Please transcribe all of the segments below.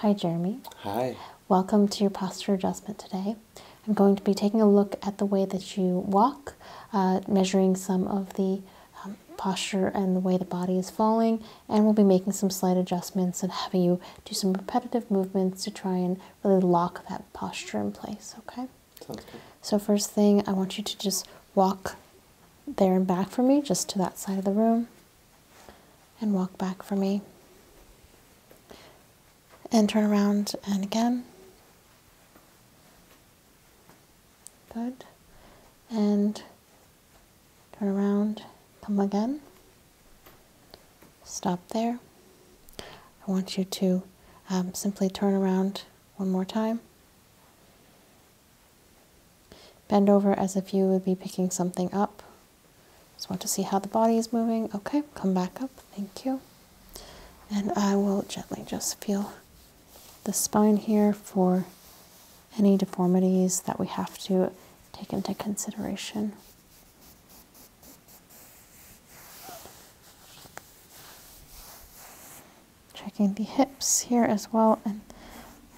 Hi, Jeremy. Hi. Welcome to your posture adjustment today. I'm going to be taking a look at the way that you walk, uh, measuring some of the um, posture and the way the body is falling, and we'll be making some slight adjustments and having you do some repetitive movements to try and really lock that posture in place, okay? So first thing, I want you to just walk there and back for me, just to that side of the room, and walk back for me. And turn around and again. Good. And turn around, come again. Stop there. I want you to um, simply turn around one more time. Bend over as if you would be picking something up. Just want to see how the body is moving. Okay, come back up. Thank you. And I will gently just feel the spine here for any deformities that we have to take into consideration checking the hips here as well and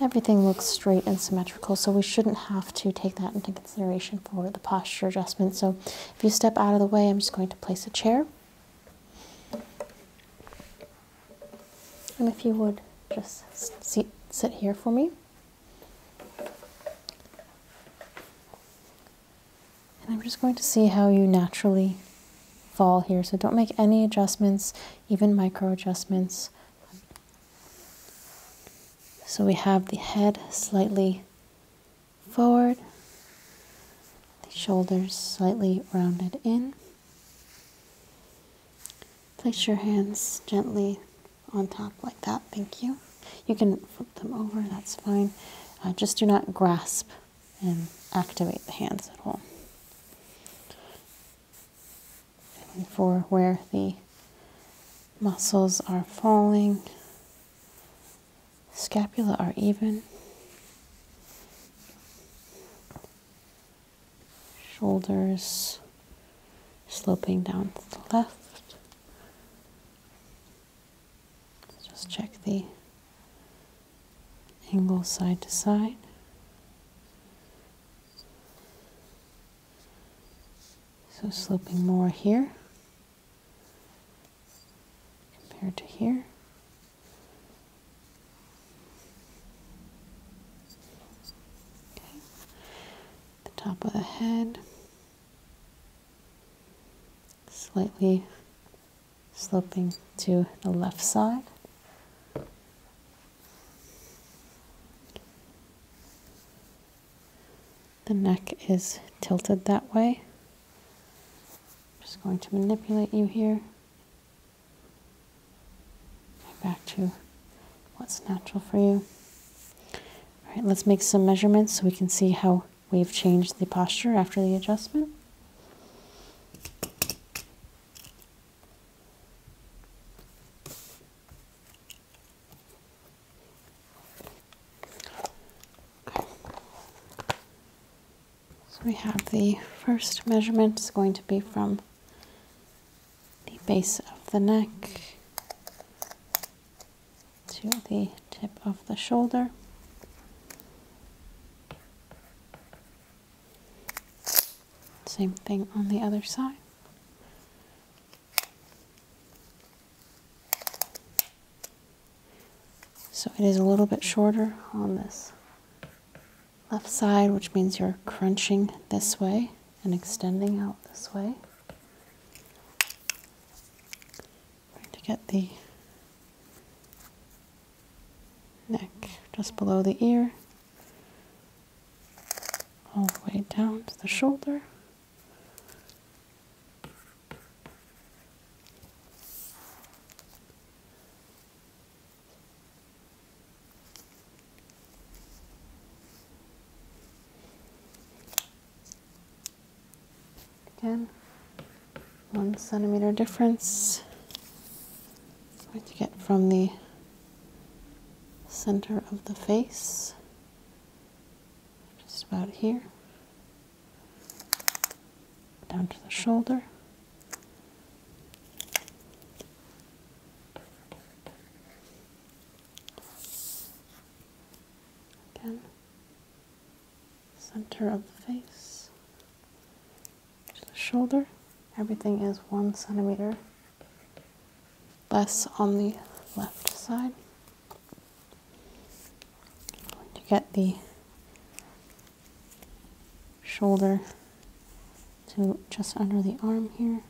everything looks straight and symmetrical so we shouldn't have to take that into consideration for the posture adjustment so if you step out of the way i'm just going to place a chair and if you would just sit, sit here for me and I'm just going to see how you naturally fall here. So don't make any adjustments, even micro adjustments. So we have the head slightly forward, the shoulders slightly rounded in. Place your hands gently on top like that, thank you. You can flip them over, that's fine. Uh, just do not grasp and activate the hands at home. for where the muscles are falling, scapula are even, shoulders sloping down to the left, just check the angle side to side. So sloping more here compared to here. Okay. The top of the head slightly sloping to the left side. The neck is tilted that way. I'm just going to manipulate you here. Back to what's natural for you. All right, let's make some measurements so we can see how we've changed the posture after the adjustment. So we have the first measurement is going to be from the base of the neck to the tip of the shoulder. Same thing on the other side. So it is a little bit shorter on this left side, which means you're crunching this way and extending out this way to get the neck just below the ear, all the way down to the shoulder. Again, one centimeter difference. That's what get from the center of the face, just about here, down to the shoulder. Again, center of the face to the shoulder. Everything is one centimeter less on the left side. to get the shoulder to just under the arm here.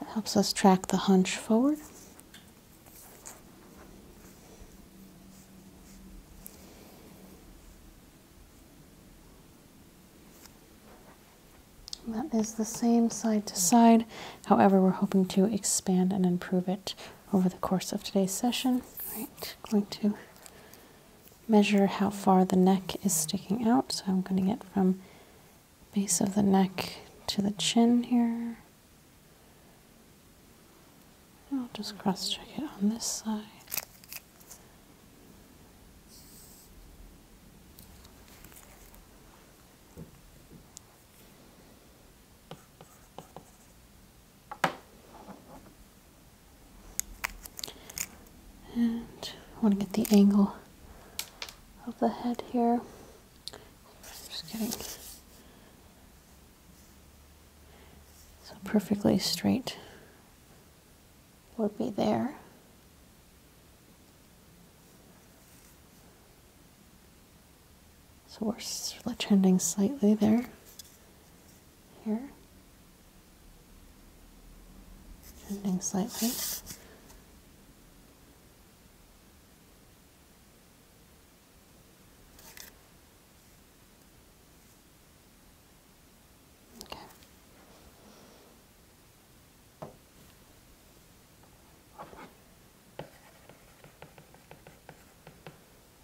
That helps us track the hunch forward. That is the same side to side. However, we're hoping to expand and improve it over the course of today's session. All right, going to measure how far the neck is sticking out. So I'm going to get from base of the neck to the chin here. I'll just cross check it on this side. And I want to get the angle of the head here. Just getting so perfectly straight would be there. So we're trending slightly there, here, trending slightly. Okay.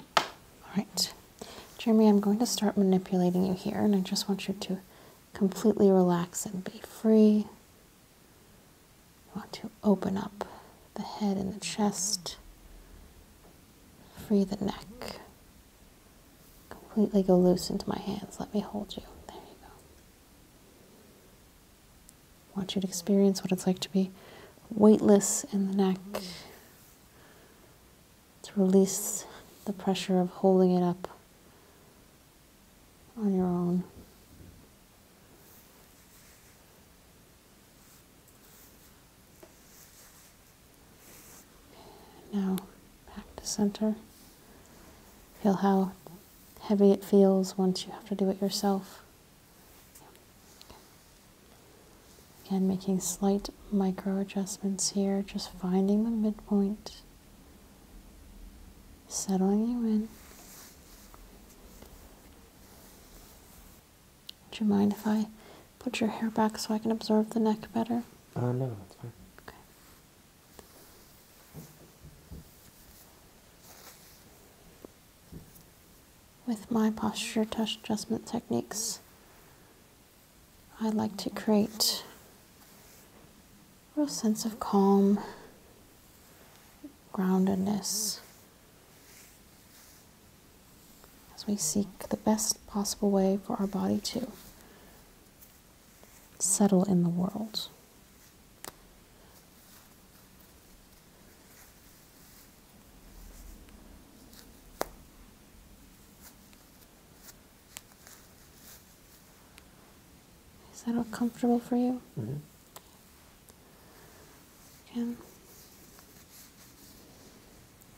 All right, Jeremy, I'm going to start manipulating you here, and I just want you to completely relax and be free. You want to open up the head and the chest, free the neck. Completely go loose into my hands. Let me hold you. There you go. I want you to experience what it's like to be weightless in the neck, to release the pressure of holding it up on your own. Now back to center. Feel how heavy it feels once you have to do it yourself. Again, making slight micro adjustments here, just finding the midpoint settling you in. Would you mind if I put your hair back so I can observe the neck better? Uh, no, that's fine. Okay. With my posture touch adjustment techniques, I like to create real sense of calm, groundedness. As we seek the best possible way for our body to settle in the world. Is that all comfortable for you? Mm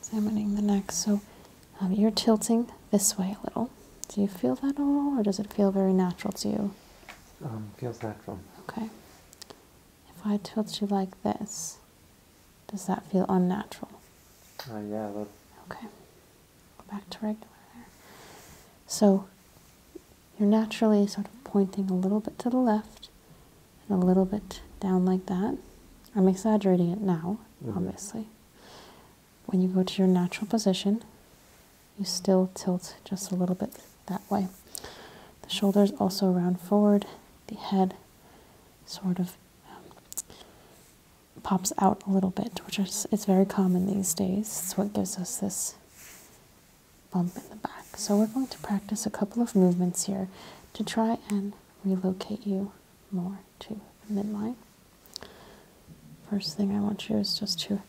examining the neck. So um, you're tilting this way a little. Do you feel that at all, or does it feel very natural to you? Um, feels natural. Okay. If I tilt you like this, does that feel unnatural? Uh, yeah, Okay. Go back to regular there. So you're naturally sort of pointing a little bit to the left and a little bit down like that. I'm exaggerating it now, mm-hmm. obviously. When you go to your natural position, you still tilt just a little bit that way. The shoulders also round forward, the head sort of um, pops out a little bit, which is it's very common these days. It's what gives us this bump in the back. So we're going to practice a couple of movements here to try and relocate you more to midline. First thing I want you is just to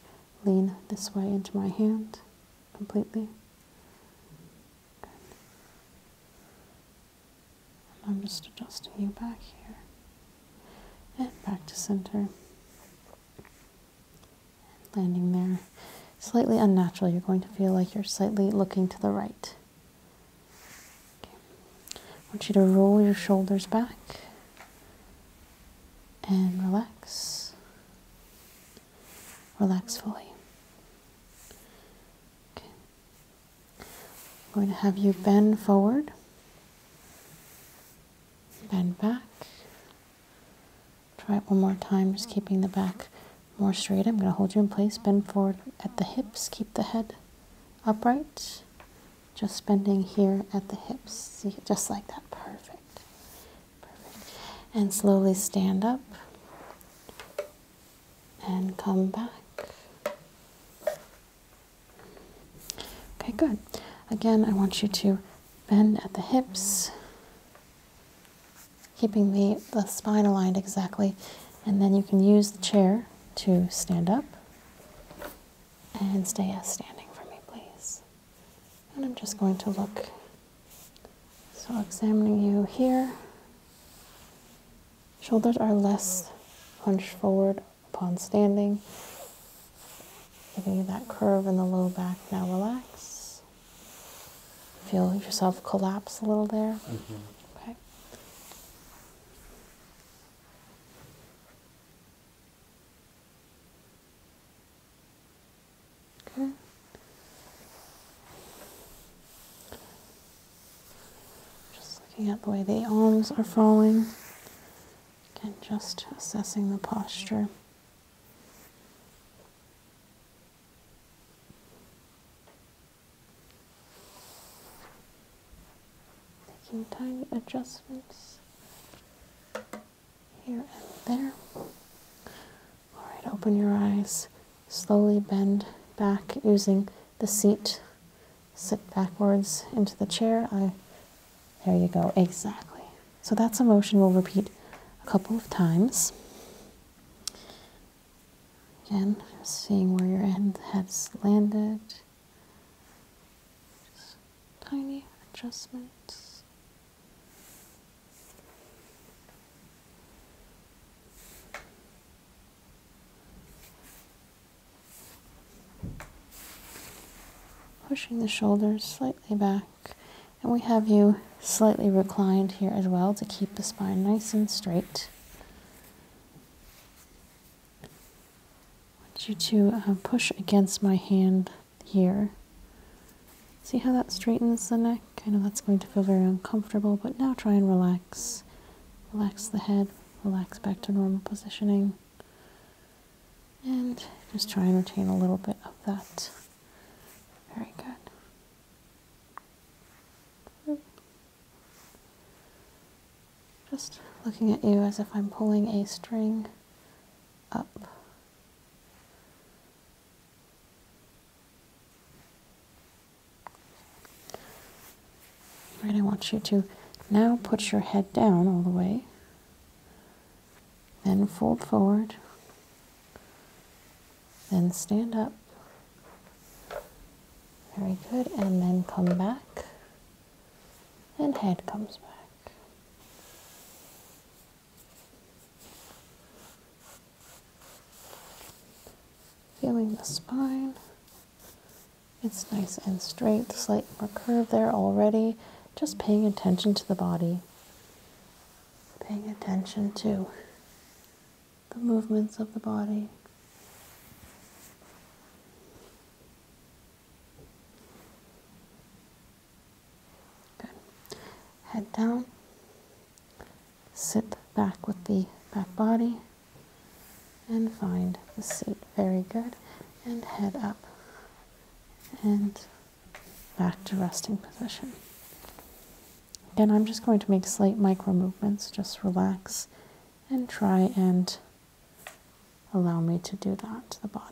lean this way into my hand completely. I'm just adjusting you back here and back to center. And landing there. Slightly unnatural, you're going to feel like you're slightly looking to the right. I want you to roll your shoulders back and relax. Relax fully. I'm going to have you bend forward, bend back. Try it one more time, just keeping the back more straight. I'm going to hold you in place, bend forward at the hips, keep the head upright. Just bending here at the hips, see, just like that. Perfect. Perfect. And slowly stand up and come back. Okay, good. Again, I want you to bend at the hips, keeping the, the spine aligned exactly, and then you can use the chair to stand up and stay as standing for me, please. And I'm just going to look. So, examining you here Shoulders are less hunched forward upon standing, giving you that curve in the low back. Now relax. Feel yourself collapse a little there. Mm -hmm. Just looking at the way the arms are falling. Again, just assessing the posture. Making tiny adjustments here and there. All right, open your eyes. Slowly bend back using the seat sit backwards into the chair. there you go, exactly. So that's a motion we'll repeat a couple of times. Again, seeing where your head has landed. tiny adjustments. Pushing the shoulders slightly back, and we have you slightly reclined here as well to keep the spine nice and straight. I want you to uh, push against my hand here. See how that straightens the neck? I know that's going to feel very uncomfortable, but now try and relax. Relax the head, relax back to normal positioning and just try and retain a little bit of that. Very good. Just looking at you as if I'm pulling a string up. Right, I want you to now put your head down all the way, then fold forward, then stand up. Very good, and then come back, and head comes back feeling the spine. It's nice and straight, slight more curve there already. Just paying attention to the body, paying attention to the movements of the body. Good. Head down, sit back with the back body and find the seat. Very good. And head up and back to resting position. Again, I'm just going to make slight micro movements. Just relax and try and allow me to do that to the body.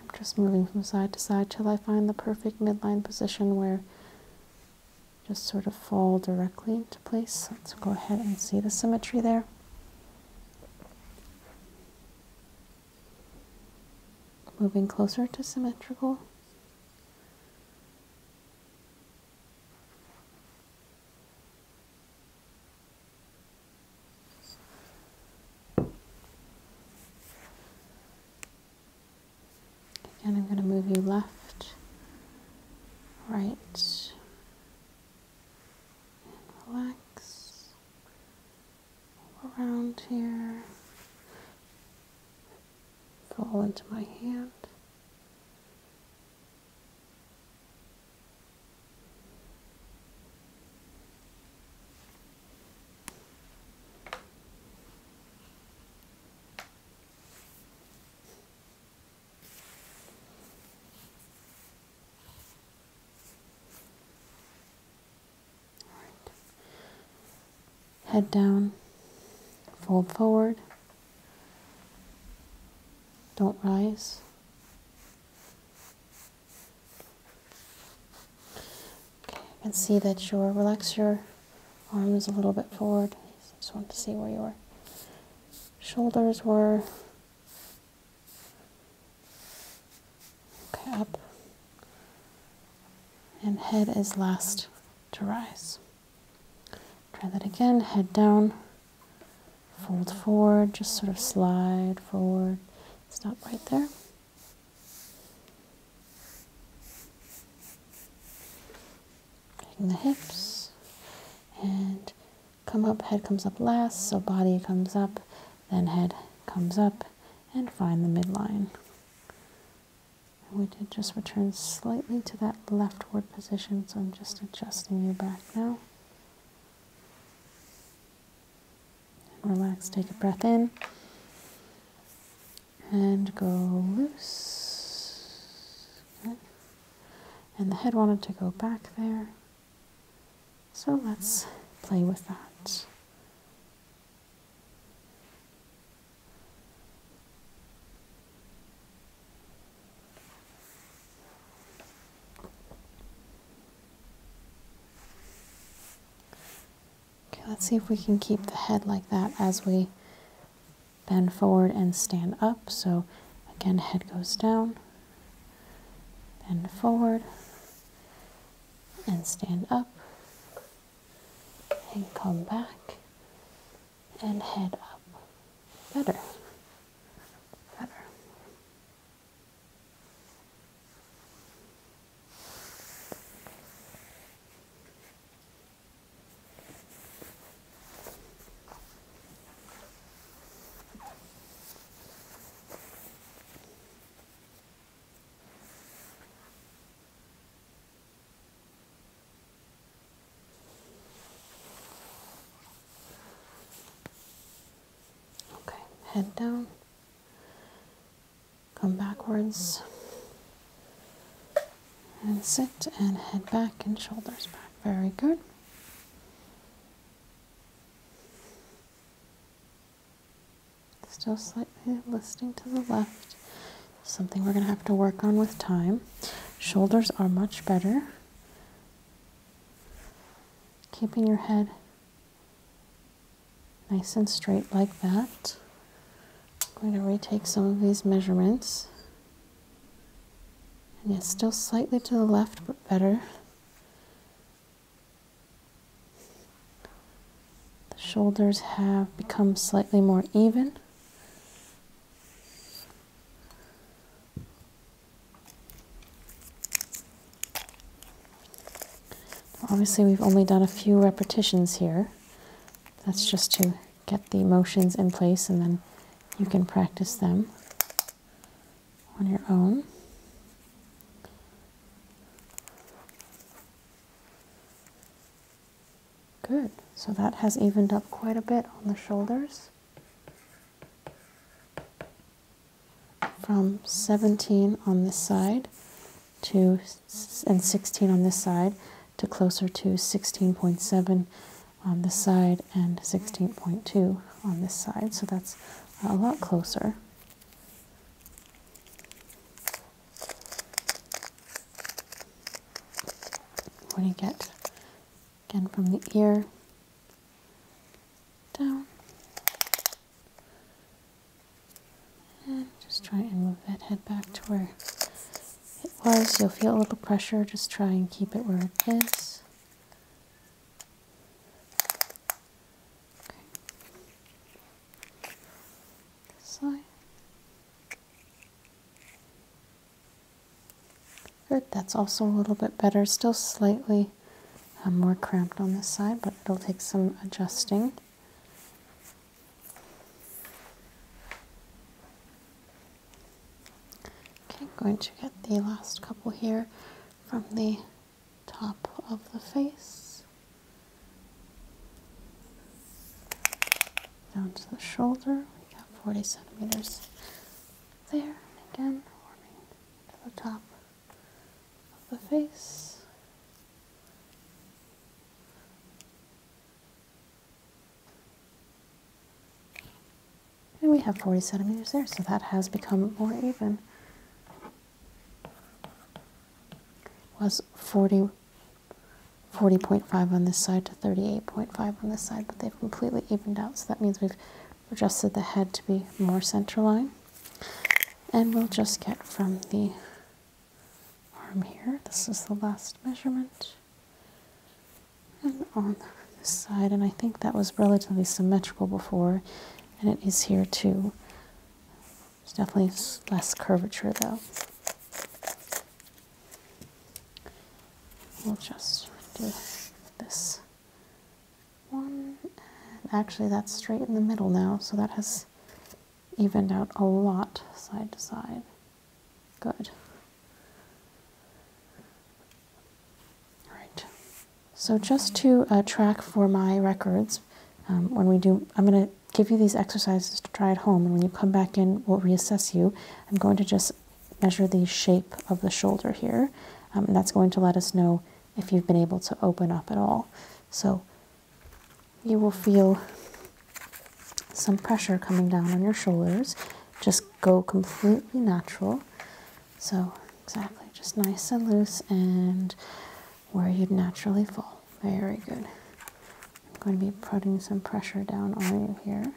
I'm just moving from side to side till I find the perfect midline position where just sort of fall directly into place. Let's go ahead and see the symmetry there moving closer to symmetrical. Again, I'm going to move you left, right, and relax around here, fall into my hand. Head down, fold forward. Don't rise. Okay, I can see that you're relax your arms a little bit forward. just want to see where your shoulders were. Okay, up. And head is last to rise. Try that again. Head down. Fold forward. Just sort of slide forward. Stop right there. Taking the hips. And come up. Head comes up last. So body comes up. Then head comes up and find the midline. we did just return slightly to that leftward position, so I'm just adjusting you back now. relax, take a breath in, and go loose. And the head wanted to go back there. So let's play with that. Okay, let's see if we can keep the head like that as we bend forward and stand up. So again, head goes down, bend forward, and stand up and come back and head up. Better. Better. Okay, head down, come backwards, and sit and head back and shoulders back. Very good. Still slightly listing to the left. Something we're going to have to work on with time. Shoulders are much better. Keeping your head nice and straight like that. I'm going to retake some of these measurements. And yet still slightly to the left, but better. The shoulders have become slightly more even. Obviously, we've only done a few repetitions here. That's just to get the motions in place and then you can practice them on your own. Good. So that has evened up quite a bit on the shoulders. From 17 on this side to and 16 on this side to closer to 16.7 on this side and 16.2 on this side. So that's a lot closer. When you get again from the ear down, just try and move that head back to where it was. You'll feel a little pressure, just try and keep it where it is. This side. Good, that's also a little bit better. Still slightly um, more cramped on this side, but it'll take some adjusting. Okay, I'm going to get the last couple here from the top of the face, down to the shoulder. We got 40 centimeters there, again, warming to the top of the face. And we have 40 centimeters there, so that has become more even. Was 40, 40.5 on this side to 38.5 on this side, but they've completely evened out, so that means we've adjusted the head to be more center line. And we'll just get from the arm here, this is the last measurement, and on this side, and I think that was relatively symmetrical before, and it is here too. There's definitely less curvature though. We'll just do this one. actually, that's straight in the middle now, so that has evened out a lot side to side. Good. All right. So just to uh, track for my records, um, when we do, I'm going to give you these exercises to try at home, and when you come back in, we'll reassess you. I'm going to just measure the shape of the shoulder here, um, and that's going to let us know if you've been able to open up at all. So you will feel some pressure coming down on your shoulders. Just go completely natural. So exactly, just nice and loose and where you'd naturally fall. Very good. I'm going to be putting some pressure down on you here.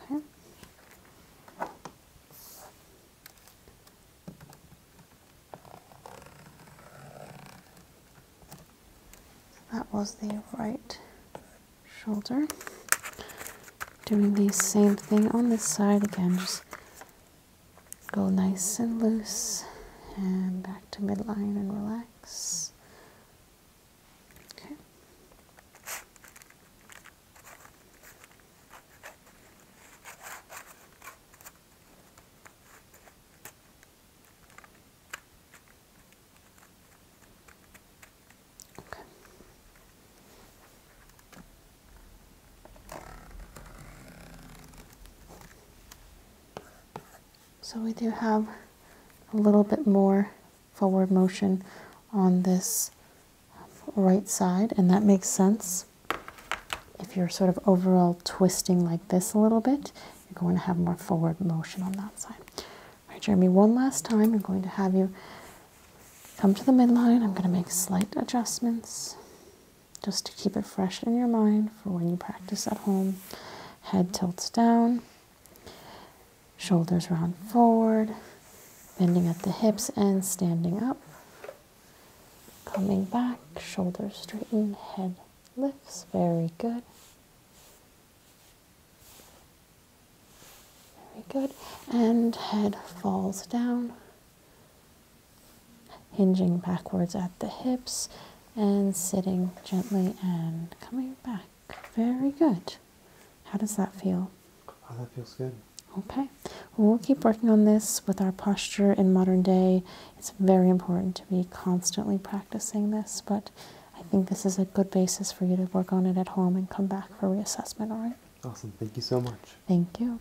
Okay that was the right shoulder. Doing the same thing on this side again, just go nice and loose and back to midline and relax. Okay. So we do have a little bit more forward motion on this right side, and that makes sense. If you're sort of overall twisting like this a little bit, you're going to have more forward motion on that side. All right, Jeremy, one last time, I'm going to have you come to the midline. I'm going to make slight adjustments just to keep it fresh in your mind for when you practice at home. Head tilts down, shoulders round forward, bending at the hips and standing up. Coming back, shoulders straighten, head lifts. Very good. Very good. And head falls down, hinging backwards at the hips and sitting gently and coming back. Very good. How does that feel? Oh, that feels good. Okay. Well, we'll keep working on this with our posture in modern day. It's very important to be constantly practicing this, but I think this is a good basis for you to work on it at home and come back for reassessment, all right? Awesome. Thank you so much. Thank you.